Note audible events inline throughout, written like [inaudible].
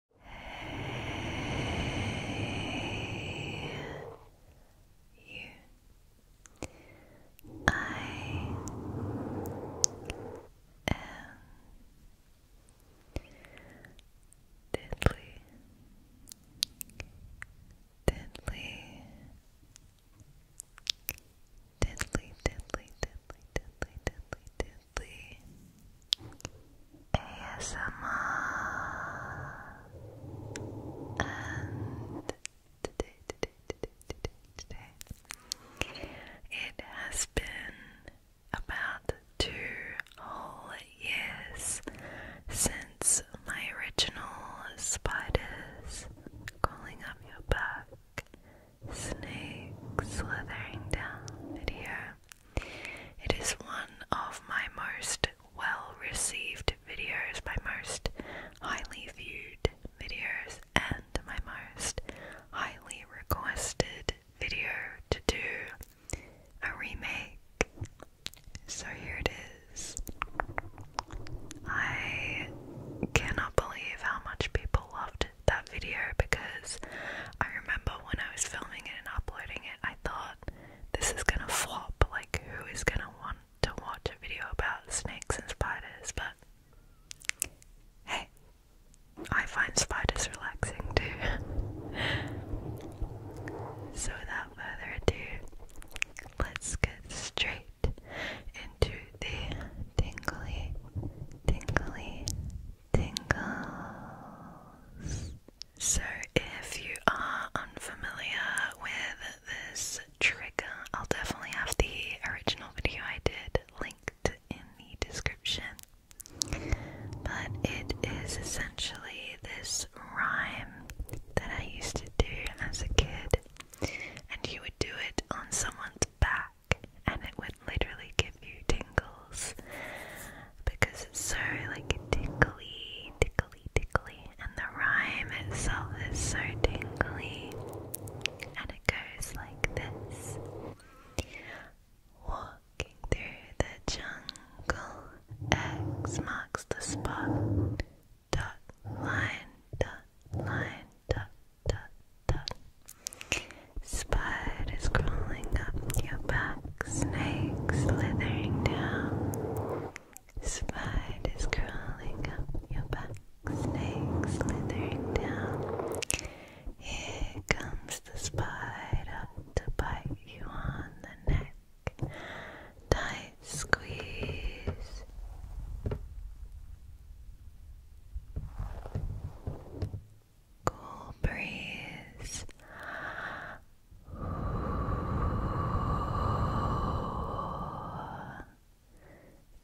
Hey, you. I am deadly, deadly, deadly, deadly, deadly, deadly, deadly, deadly. Gently ASMR and today, today, today, today, today it has been about two whole years since my original spiders crawling up your back snake slithering down video it is one of my most well received videos, my most highly viewed videos, and my most highly requested video to do a remake. So here it is. I cannot believe how much people loved that video because I remember but when I was filming it and uploading it, I thought this is gonna flop. Like, who is gonna want to watch a video about snakes and spiders? But hey, I find spiders relaxing too. [laughs] so, without further ado, let's get straight into the tingly, tingly, tingles. So, if you are unfamiliar with this trigger, I'll definitely have the original video I did linked in the description. But it is essentially this rhyme that I used to do as a kid, and you would do it on someone's back, and it would literally give you tingles because it's so like tickly, tickly, tickly, and the rhyme itself is so tingly, and it goes like this. Walking through the jungle, X marks the spot. Dot line, dot line, dot dot dot. Spider is crawling up your back, snake slithering down. Spider is crawling up your back, snake slithering down. Here comes the spider to bite you on the neck. Tight squeeze cool breeze.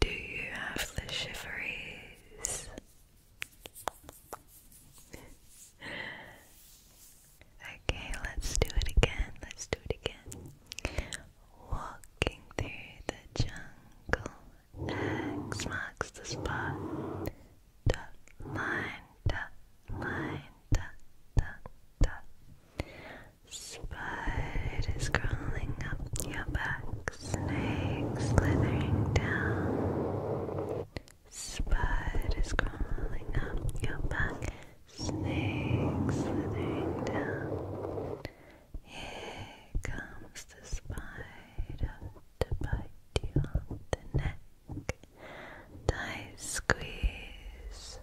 Do you have the shiveries? okay, let's do it again. Let's do it again. Walking through the jungle, X marks the spot dot line dot line dot dot dot crawling up your back, snakes slithering down. is crawling up your back, snakes slithering down. Here comes the spider to bite you neck. Tight squeeze.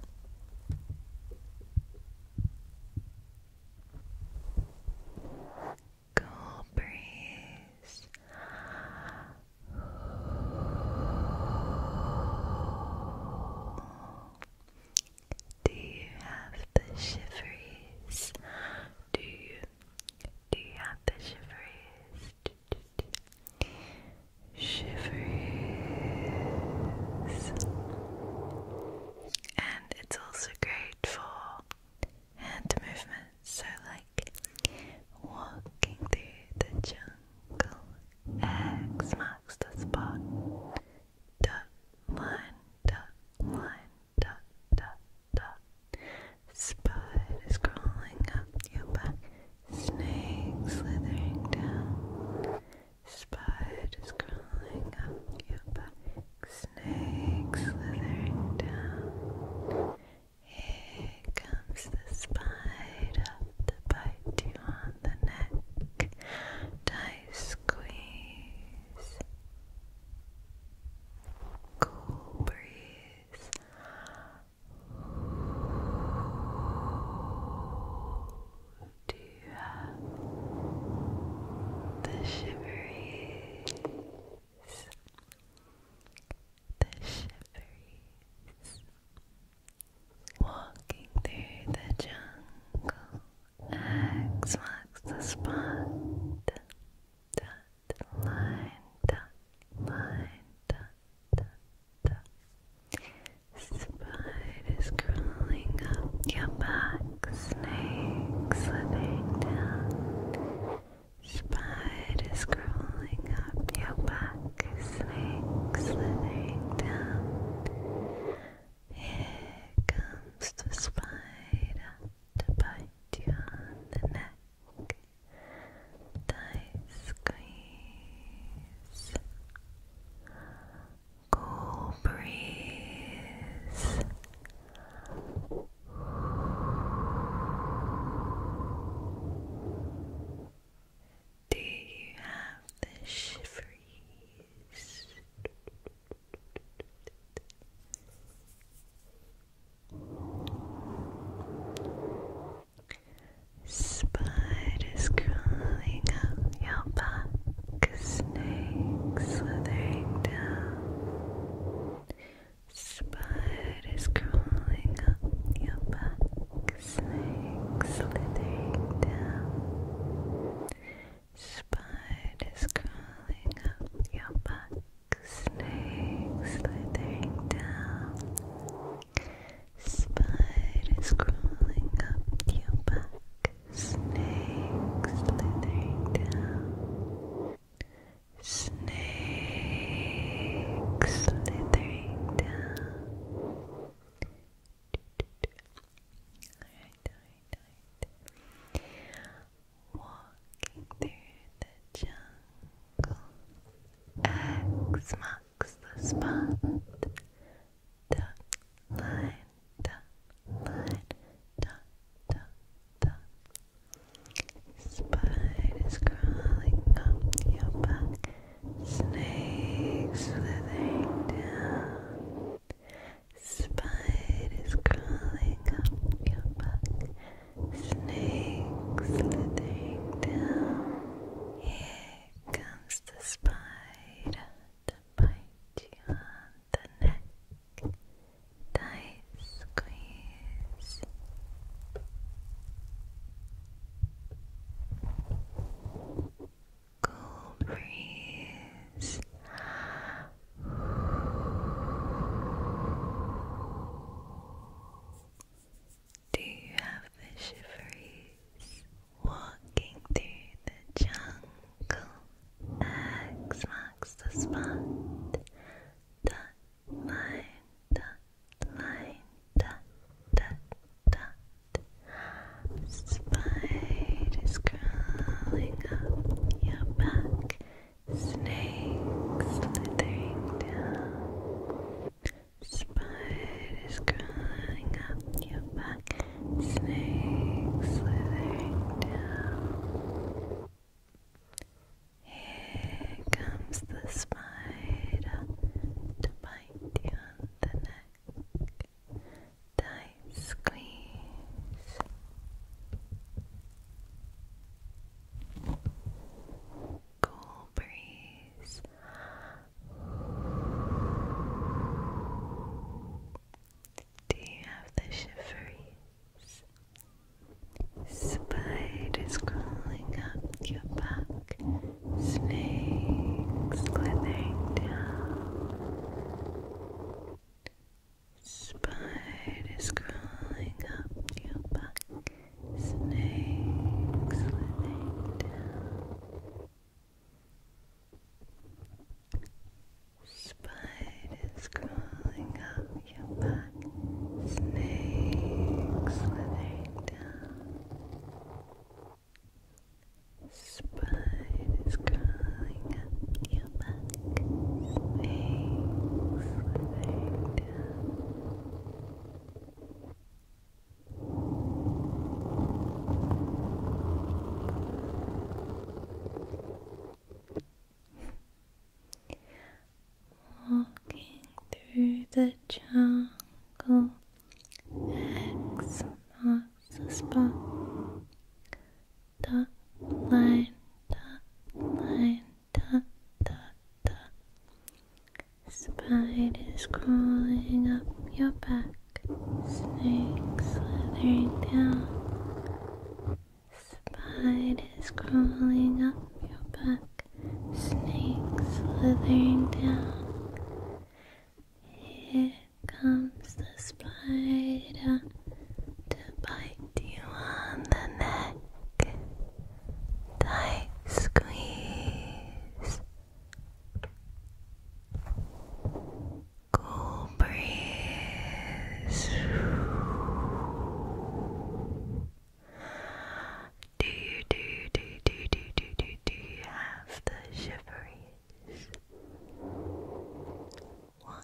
Cool breeze. Do you have the shiveries? Do you? Do you have the shivers? Shivers. And it's also great for hand movements, so like walking through the jungle. X marks the spot. Dot line, dot line, dot dot spider is crawling up your back. Snake slithering down. Spider is crawling up your back. Snake slithering down. Here comes the spider to bite you on the neck. Tight squeeze. Cool breeze do you have the shiveries? The shiveries walking through the jungle. X marks the spot dot, line dot, line dot, dot, dot. Spiders crawling up your back, snakes slipping down. Spiders crawling up your back, snakes slithering down. Here comes the spider to bite you on the neck tight squeeze, cool breeze. Do you have the shiveries? Spiders crawling up your back, snakes slithering down. Spiders crawling up your back, snakes slithering down. Spiders crawling up your back, snakes slithering down, spiders crawling up your back, snakes slithering down, snakes slithering down. Walking through the jungle, X marks the spot. Dot line, dot line, dot Spiders crawling up your back, snakes slithering down. Spiders crawling up your back. Snake slithering down. Here comes the spider to bite you on the neck. Tight squeeze. Cold breeze. Do you have the shiveries walking through the jungle? X marks the spot. Dot line, dot line, dot dot dot. Spiders crawling up your back. Snakes slithering down. Spiders crawling up your back. Snakes slithering down. Here comes the spider to bite you on the neck. Tight squeeze cool breeze. Do you have the shiveries? Spiders crawling up your back, snakes slithering down. Spiders crawling up your back, snakes slipping down. Spiders crawling up your back, snakes slithering down. Spiders crawling up your back, snakes slithering down. Walking through the jungle, X marks the line, dot line, da da da. Spiders crawling up your back, snake slithering down. Spiders crawling up your back, snake slithering down. Here comes the spider to bite you on the neck tight squeeze, cool breeze. Do you do do do do do do do you have the shiveries? One,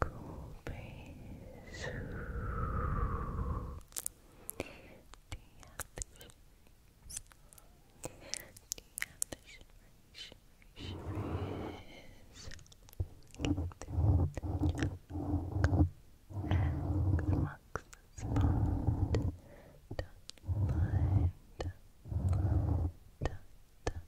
cool breeze do you have the do you have the shivers, shivers, shivers and marks the spot dot line dot line dot dot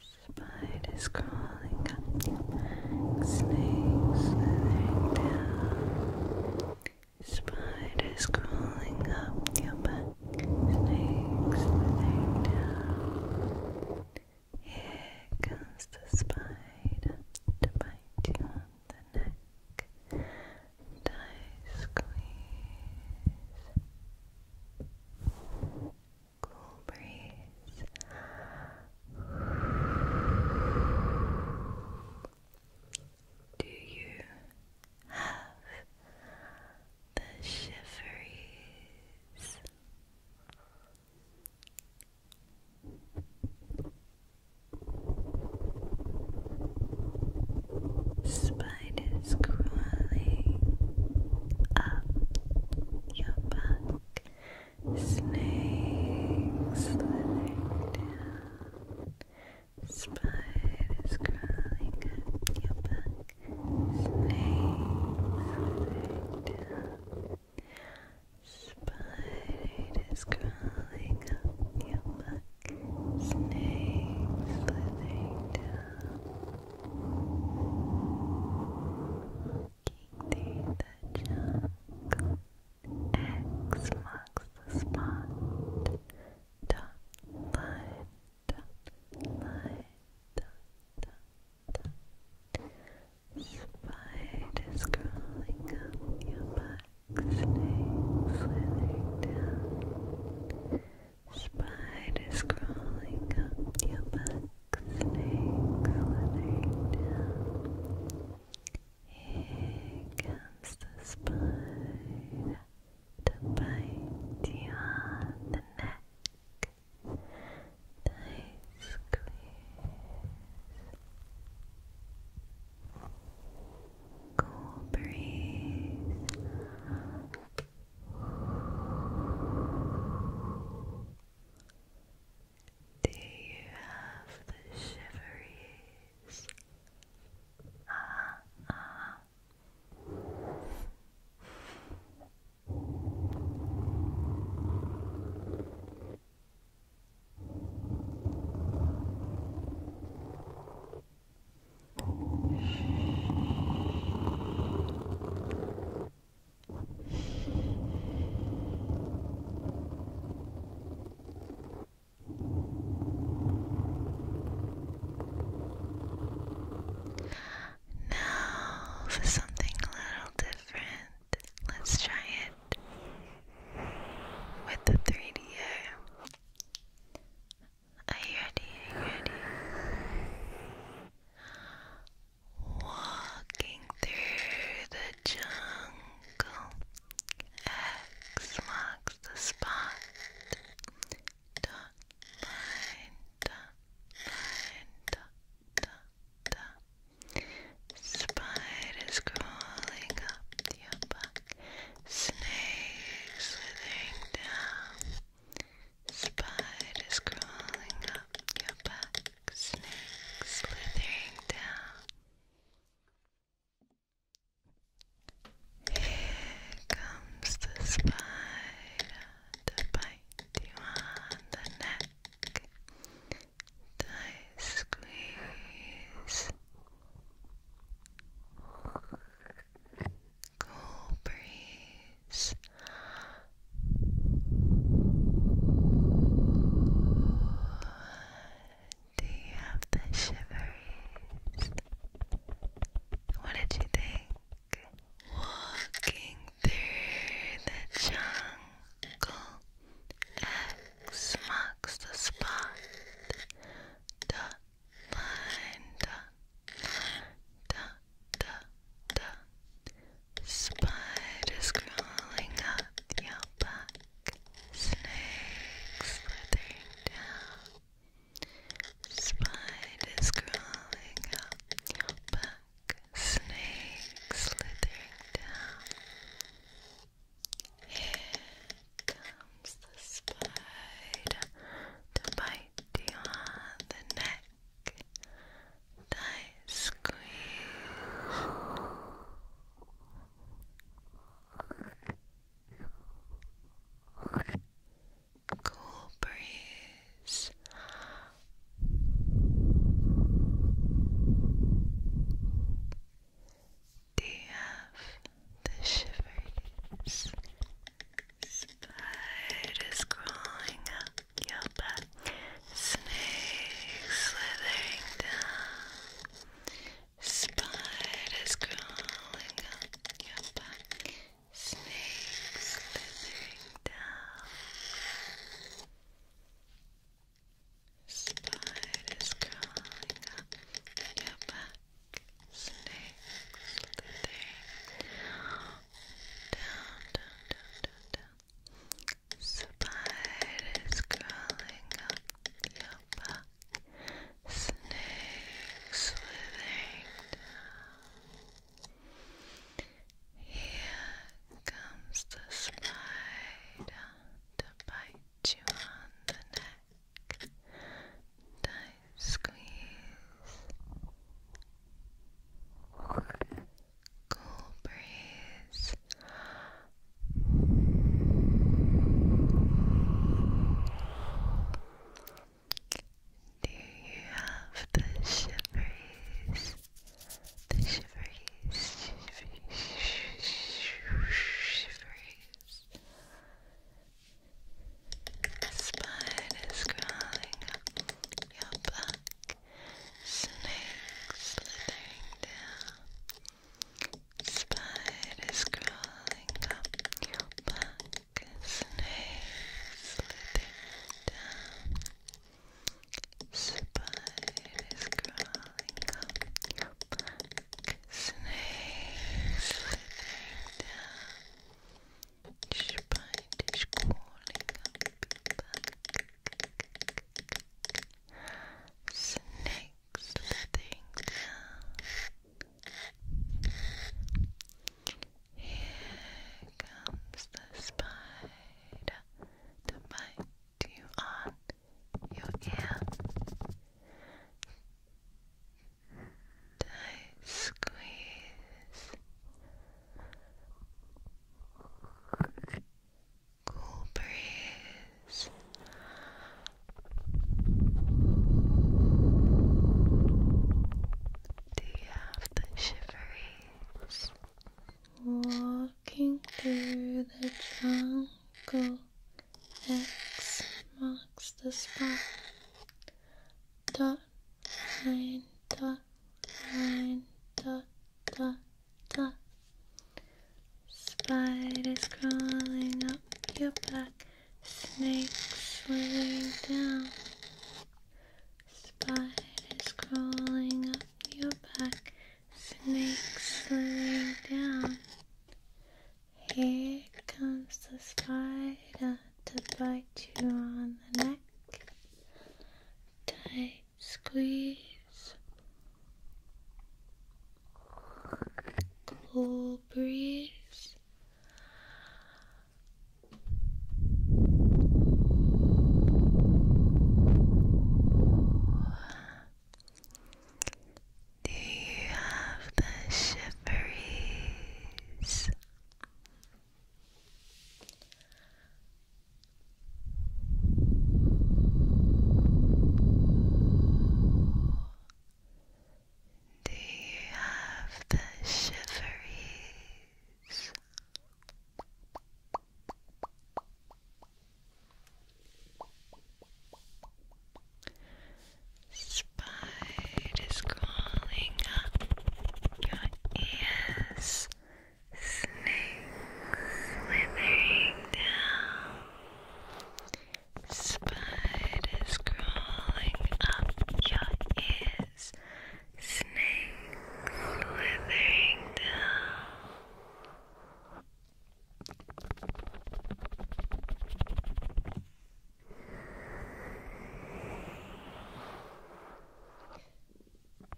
Spiders crawling up, snakes slithering down. Spiders crawling up your back, snakes slithering down. Here comes the spider to on the neck, I squeeze cool breeze. Do you have the shiveries? spiders crawling up your back, snakes slithering down, spiders crawling up your back, snakes slithering down. Spiders crawling up your back, snakes slithering down. Walking through the jungle, X marks the spot. Dot, line, dot, line, dot, dot, dot. Spiders crawling up your back, snakes slithering down. Spiders crawling up your back, snakes slithering down. Here comes the spider to on the neck. Nice squeeze. Cool breeze. Do you have the shiveries? Ah, ah. Now for something a little different. Let's try it with the 3D. Are you ready? ready? Walking through the jungle. X marks the spot. Spiders crawling up your back. Snakes slithering down. Spiders crawling up your back, snake slithering down. Here comes the spider to bite you on the neck. Tight squeeze cool breeze. Do you have the shivers? What did you think? Walking through the jungle, X marks the spot. Dot line, dot line, dot the spiders crawling up your back, snakes slithering down. Spiders crawling up your back, snakes slithering down. Here comes the spider to bite you on the neck tight squeeze cool breeze do have the shivers? Spider crawling up your back, snakes slithering down. Spiders crawling up your back, snakes slithering down. Spiders crawling up your back, snakes slithering down, down, down, down. Spiders crawling up your back. Snakes slithering down. Here comes the spider to bite you on the neck tight squeeze, cool breeze. Do you have the shiveries? The shiveries, shiveries, shiveries. A spider's crawling up your back, snake's slithering down. Spiders crawling up your back, snake slithering down. Spiders crawling up your back, snake's slithering down. Spiders crawling up Snakes letting Here comes the spider to bite you on your ear tight squeeze cool breeze do you have the shiveries? Walking through the jungle, X marks the spot dot nine dot nine dot dot dot Spiders crawling up your back snake slithering down Spiders crawling up your back snake slithering down Here comes the spider to bite you on the neck. Tight squeeze. Cool breeze. Do you have the shiveries? Do you have the shiveries? Spiders crawling up your ears. Snakes slithering down. Spiders crawling up your ears. Snakes slithering down.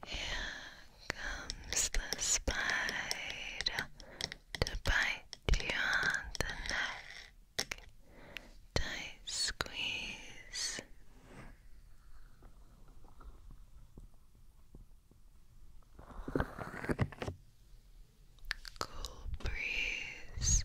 Here comes the spider to bite you on the neck. Tight squeeze. Cool breeze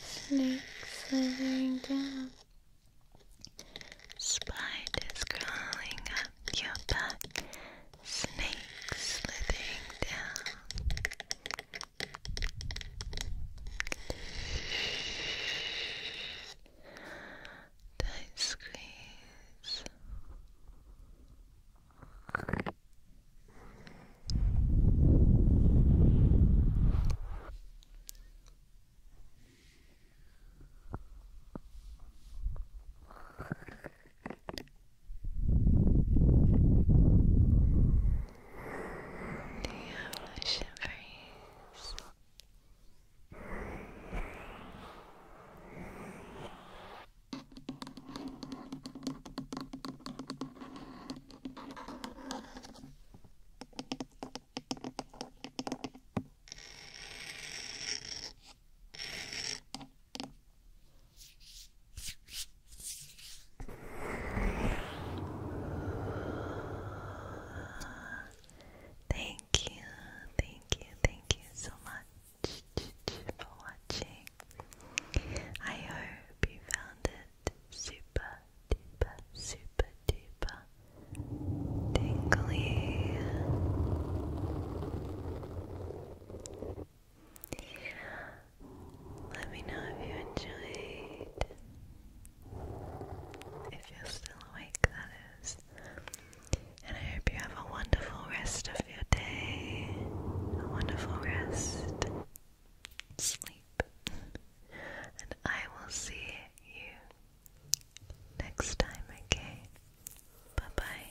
Snake slithering down. Spiders crawling up your back. Snakes slithering down. Tight squeeze. Do you have the shivers? Good. Thank you, thank you, thank you so much for watching. I hope you found super duper, super duper tingly. Let me know if you enjoyed. If you're still awake, that is. And I hope you have a wonderful rest of your day. A wonderful rest sleep, and I will see you next time, okay? Bye bye.